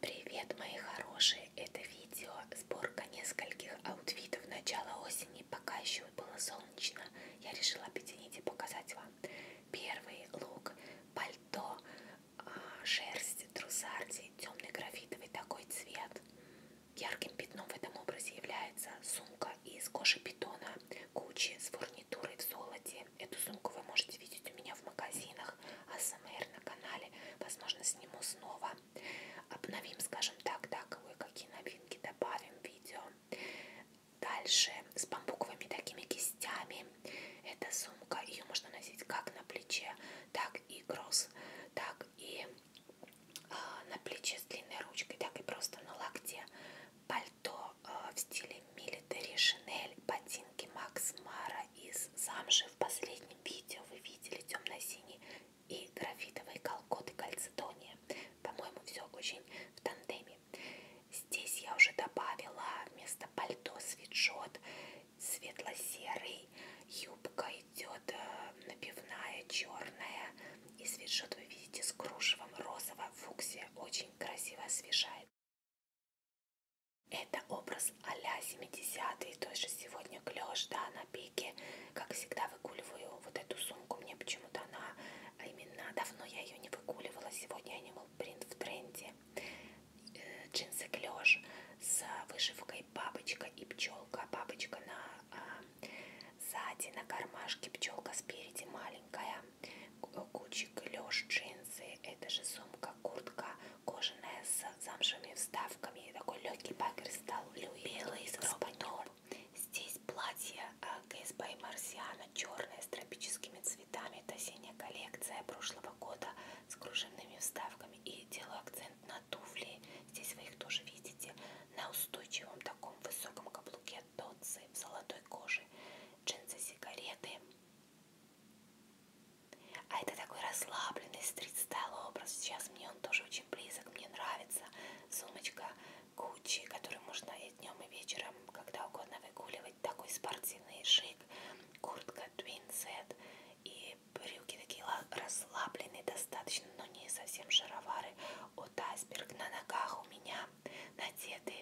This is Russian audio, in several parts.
Привет, мои хорошие! Это видео сборка нескольких аутфитов начала осени. Пока еще было солнечно, я решила объединить и показать вам. Первый лук, пальто, а, шерсть, трусарди, темный графитовый такой цвет. Ярким пятном в этом образе является сумка из кожи питона, кучи с фурнитурой в золоте сумки. Эту сумку вы можете видеть у меня в магазинах АСМР на канале. Возможно, сниму снова. Обновим, скажем так, да, кое-какие новинки добавим в видео. Дальше с бамбуковыми такими кистями. Эта сумка, ее можно носить как на плече, так и кросс, так и э, на плече с длинной ручкой, так и просто на локте. Пальто э, в стиле мили Этери Шинель, ботинки Макс Мара из Замжи. В последнем видео вы видели темно-синий и графитовые колготы кальцедония. По-моему, все очень в тандеме. Здесь я уже добавила вместо пальто свитшот светло-серый. Юбка идет э, напивная, черная. И свитшот вы видите с кружевом розово-фуксия. Очень красиво освежает. Это образ а-ля 70-й, то же сегодня клеш, да, на пике. Как всегда выгуливаю вот эту сумку, мне почему-то она, а именно давно я ее не выгуливала, сегодня Animal Print в тренде. Э, джинсы клеш с вышивкой бабочка и пчелка, бабочка на а, сзади, на кармашке, пчелка спереди маленькая. Гуччи клеш, джинсы, это же сумка, куртка кожаная с замшевыми вставками, и такой легкий багер стал белый с испаньол. Здесь платье э, КСБ и Марсиана, черное с тропическими цветами, это осенняя коллекция прошлого года с кружевными вставками. И делаю акцент на туфли, здесь вы их тоже видите, на устойчивом таком высоком каблуке дотсы в золотой коже, джинсы, сигареты, а это такой расслабленный стрит-стайл образ. Сейчас мне он тоже очень близок, мне нравится. Сумочка Gucci, которую можно и днем, и вечером, когда угодно выгуливать. Такой спортивный шик. Куртка Twin Set. И брюки такие расслабленные достаточно, но не совсем шаровары. От Айсберг на ногах у меня надеты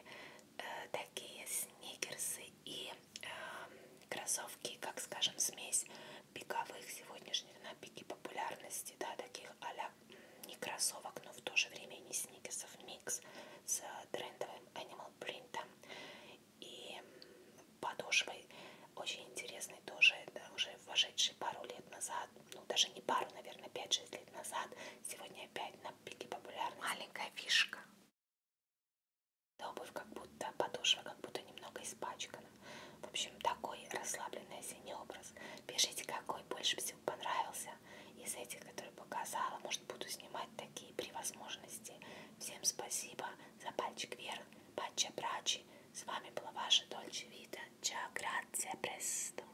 э, такие сникерсы и Эм, кроссовки, как скажем, смесь пиковых сегодняшних на пике популярности, да, таких а-ля не кроссовок, но в то же время и не сникерсов, микс с трендовым Animal Print и подошвой очень интересный тоже, да, уже вошедший пару лет назад, ну даже не пару, наверное, 5-6 лет назад, сегодня опять на пике популярности. Маленькая фишка, да обувь как будто, подошва как будто немного испачкана. В общем, такой расслабленный осенний образ. Пишите, какой больше всего понравился из этих, которые показала. Может, буду снимать такие при возможности. Всем спасибо за пальчик вверх, патча брачи. С вами была ваша Дольче Вита. Чао, грация, престо.